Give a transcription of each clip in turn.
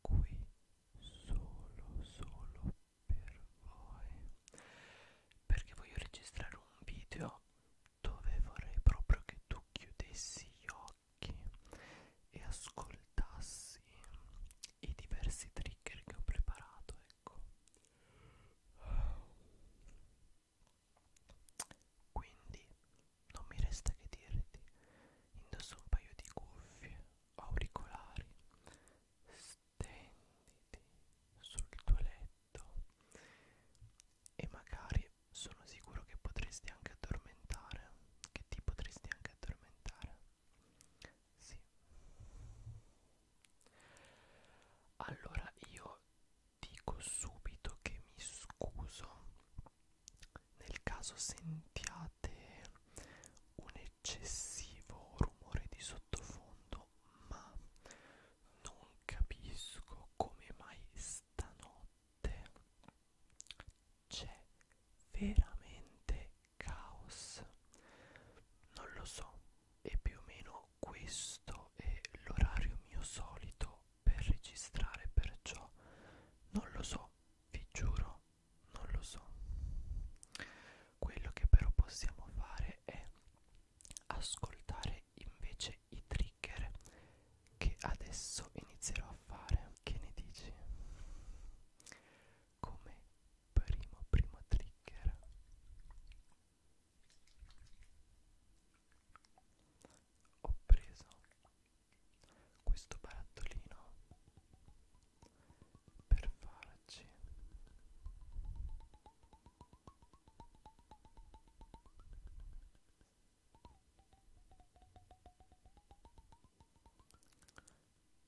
qui solo solo per voi perché voglio registrare un video dove vorrei proprio che tu chiudessi gli occhi e ascoltassi i diversi trigger che ho preparato ecco quindi non mi resta che dirti indosso un paio di cuffie auricolari stenditi sul tuo letto e magari sono sicuro che potresti anche addormentare che ti potresti anche addormentare sì allora io dico subito che mi scuso nel caso sentiate un eccessivo rumore di sottofondo ma non capisco come mai stanotte c'è veramente caos non lo so e più o meno questo è l'orario mio solito per registrare perciò non lo so, vi giuro, non lo so. Quello che però possiamo fare è ascoltare invece i trigger che adesso inizierò a fare. Che ne dici? Come primo primo trigger ho preso questo barattolino per farci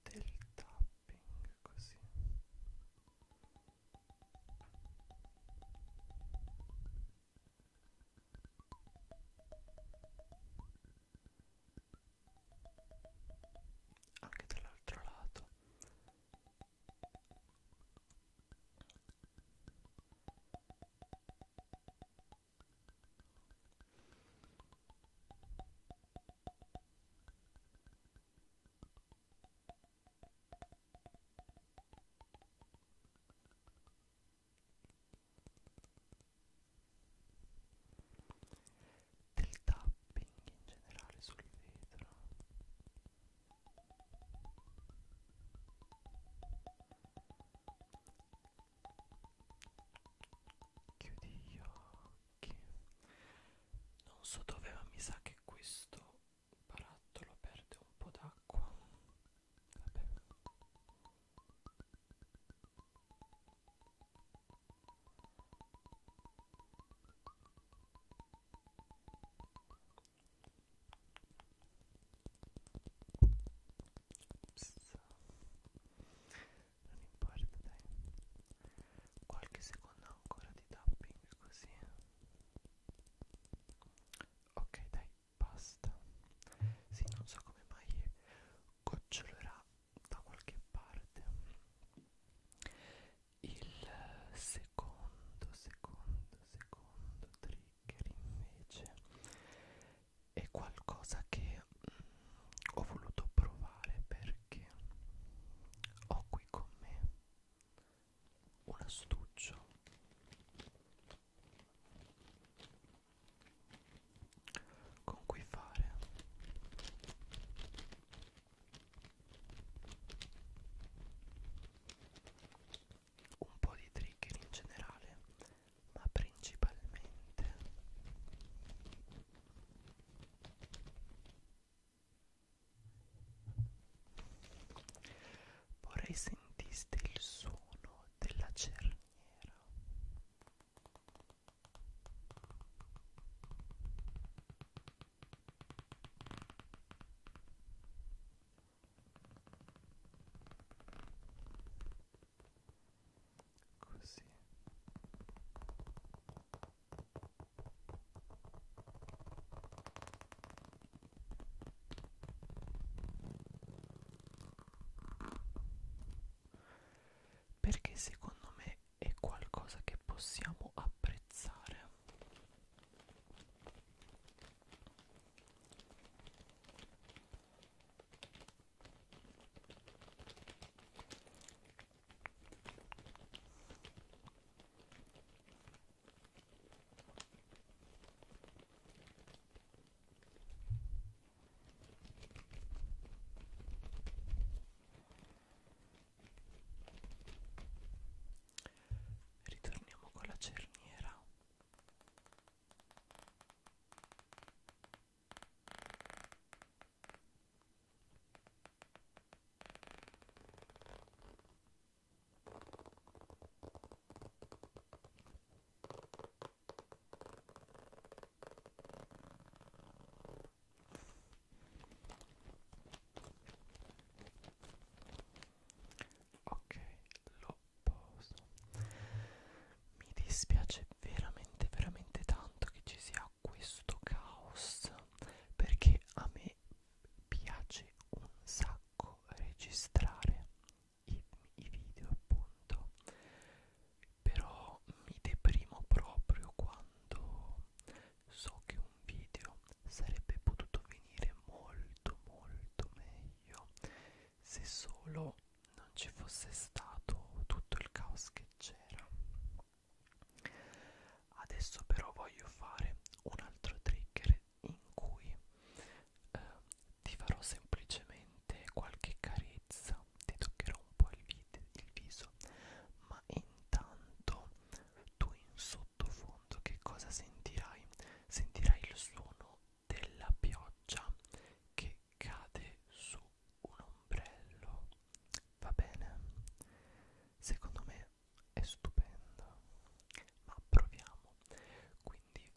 del tapping così anche dall'altro lato del tapping in generale sul vetro chiudi gli occhi non so dove ma mi sa che questo barattolo perde un po' d'acqua não Non importa dai Qualche secondo ancora di tapping così Ok dai tá basta sì non so come mai gocciolerà da qualche parte il secondo secondo secondo trigger invece è qualcosa che mm, ho voluto provare perché ho qui con me un astuccio con cui fare un po' di trigger in generale ma principalmente vorrei sentiste il suono della cerniera così perché secondo me è qualcosa che possiamo apprezzare Ritorniamo con la cerniera. Ok, lo posto. Mi dispiace veramente, veramente tanto che ci sia questo caos perché a me piace un sacco registrare i, i video appunto però mi deprimo proprio quando so che un video sarebbe potuto venire molto molto meglio se solo non ci fosse stato tutto il caos che c'era adesso però voglio fare un altro trigger in cui eh, ti farò semplicemente qualche carezza, ti toccherò un po' il, vid il viso, ma intanto tu in sottofondo che cosa sentirai? Sentirai il suono della pioggia che cade su un ombrello. Va bene? Secondo me è stupendo. Ma proviamo. Quindi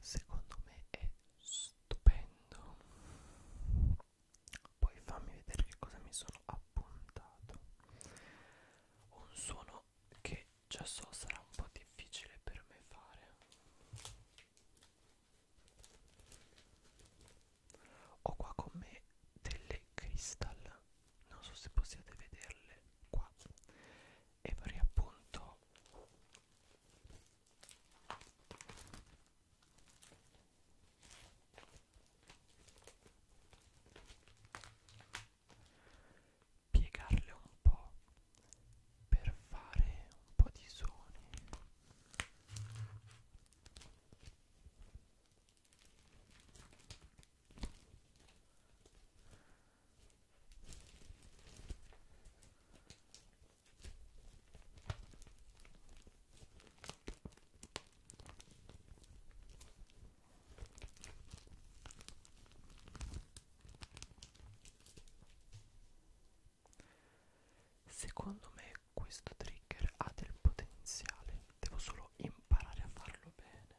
secondo me è stupendo poi fammi vedere che cosa mi sono appuntato un suono che già so sarà un po' difficile per me fare ho qua con me delle cristal non so se possiate vederle qua e vorrei appunto piegarle un po' per fare un po' di suoni Secondo me questo trigger ha del potenziale, devo solo imparare a farlo bene.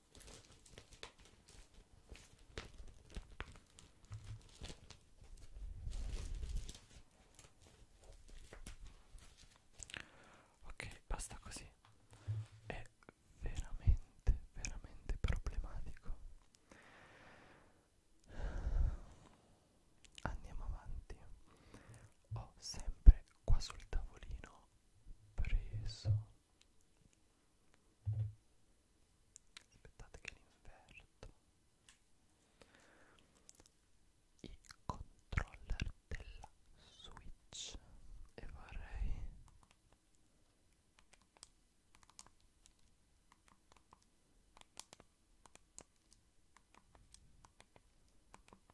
Ok, basta così. È veramente, veramente problematico. Andiamo avanti. Ho sempre qua sul tavolino preso aspettate che l'inverto i controller della switch e vorrei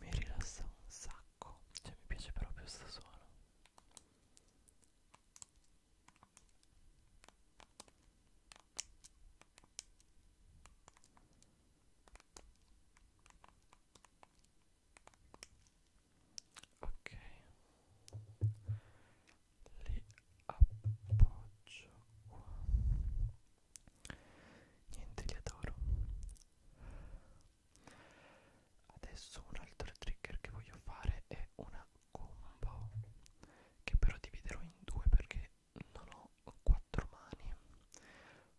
Mi rilassa un sacco, cioè mi piace proprio sto suono ok li appoggio qua niente li adoro adesso un altro trigger che voglio fare è una combo che però dividerò in due perché non ho quattro mani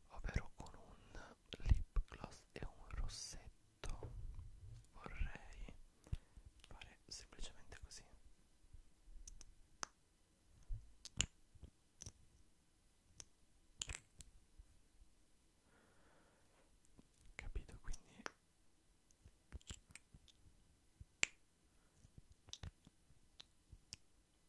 ovvero con un lip gloss e un rossetto vorrei fare semplicemente così capito quindi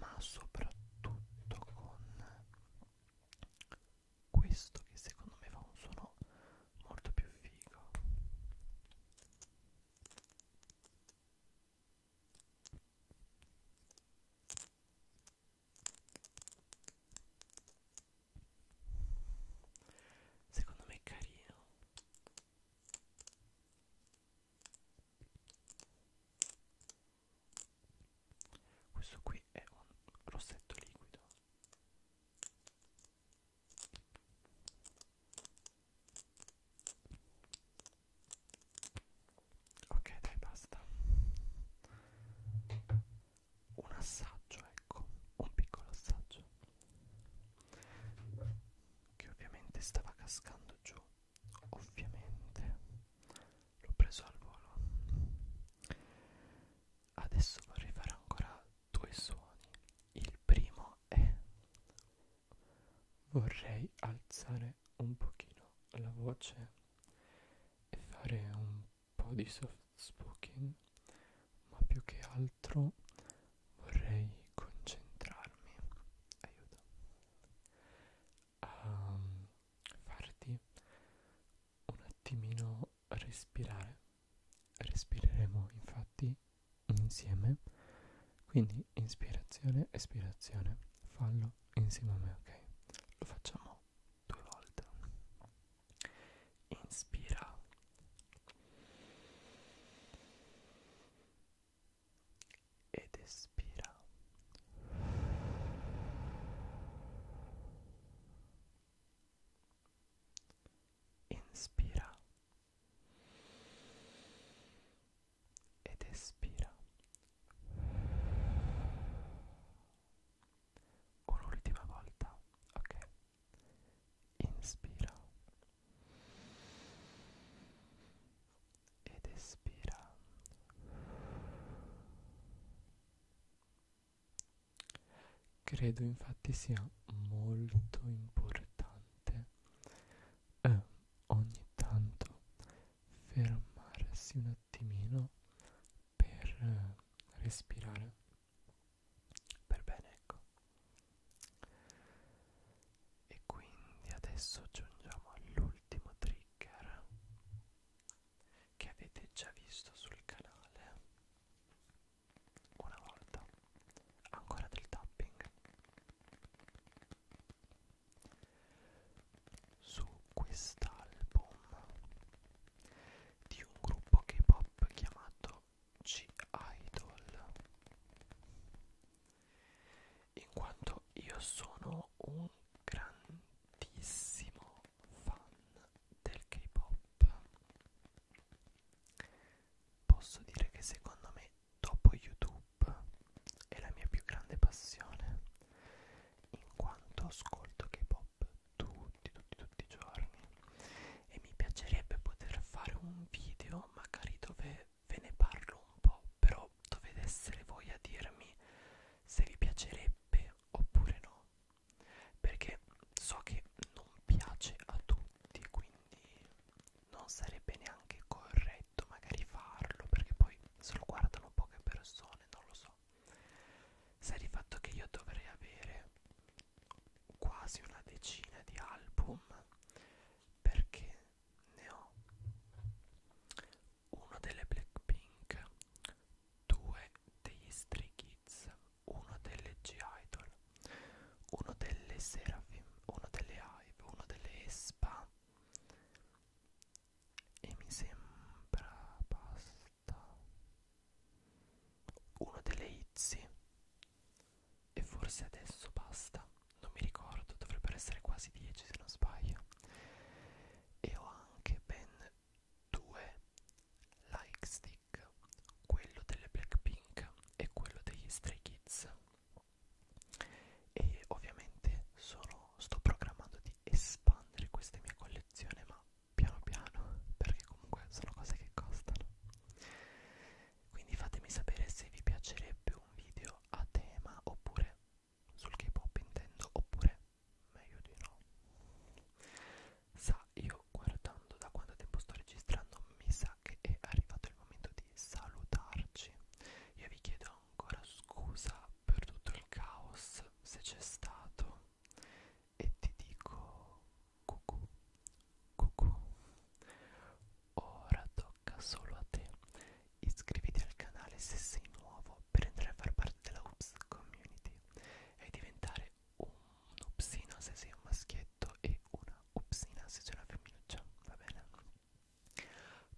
ma soprattutto con questo che secondo me fa un suono molto più figo Secondo me è carino questo qui è un rossetto liquido. Ok, dai, basta. Un assaggio, ecco, un piccolo assaggio che ovviamente stava cascando giù ovviamente l'ho preso al volo adesso vorrei fare ancora due suoni il primo è vorrei alzare un pochino la voce e fare un po' di soft spoken ma più che altro vorrei concentrarmi aiuto a ehm, farti un attimino respirare respireremo infatti insieme quindi inspirazione espirazione fallo insieme a me ok lo facciamo due volte inspira ed espira. Inspira ed espira. Un'ultima volta, ok? Inspira ed espira credo infatti sia molto importante eh, ogni tanto fermarsi un attimino per eh, respirare per bene ecco e quindi adesso aggiungiamo all'ultimo trigger che avete già visto sul canale una volta ancora del tapping su quest'album di un gruppo K-pop chiamato G-Idol in quanto io sono un grandissimo fan del K-pop. Posso dire che secondo me dopo YouTube è la mia più grande passione, in quanto ascolto K-pop tutti, tutti, tutti i giorni e mi piacerebbe poter fare un video magari dove ve ne parlo un po', però dovete essere voi a dirmi se vi piacerebbe oppure no, perché so che non piace a tutti, quindi non sarebbe neanche corretto magari farlo, perché poi se lo guardano poche persone, non lo so. Sa di fatto che io dovrei avere quasi una decina di album perché ne ho uno delle Blackpink, due degli Stray Kids, uno delle G-Idol, uno delle Seraphim, uno delle Hive, uno delle Espa e mi sembra basta uno delle Itzy e forse adesso basta, non mi ricordo, dovrebbero essere quasi 10 se non sbaglio. E ho anche ben due like stick, quello delle Blackpink e quello degli Stray Kids. E ovviamente sono, sto programmando di espandere questa mia collezione, ma piano piano, perché comunque sono cose che costano quindi fatemi sapere se vi piacerebbe un video a tema oppure sul K-pop intendo oppure meglio di no sa io guardando da quanto tempo sto registrando mi sa che è arrivato il momento di salutarci io vi chiedo ancora scusa per tutto il caos se c'è stato e ti dico cucù cucù ora do tocca solo a te. Iscriviti al canale se sei nuovo per entrare a far parte della Oops Community e diventare un upsino se sei un maschietto e una upsina se sei una femminuccia, va bene?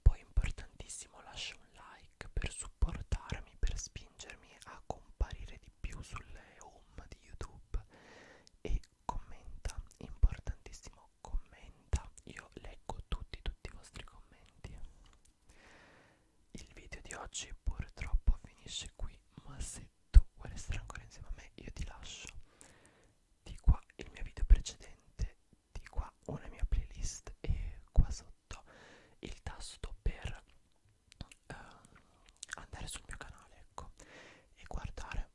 Poi importantissimo lascia un like per supportarmi, per spingermi a comparire di più sulle home di YouTube e commenta, importantissimo commenta io leggo tutti tutti i vostri commenti il video di oggi purtroppo finisce qui ma se tu vuoi restare ancora insieme a me io ti lascio di qua il mio video precedente di qua una mia playlist e qua sotto il tasto per eh, andare sul mio canale ecco e guardare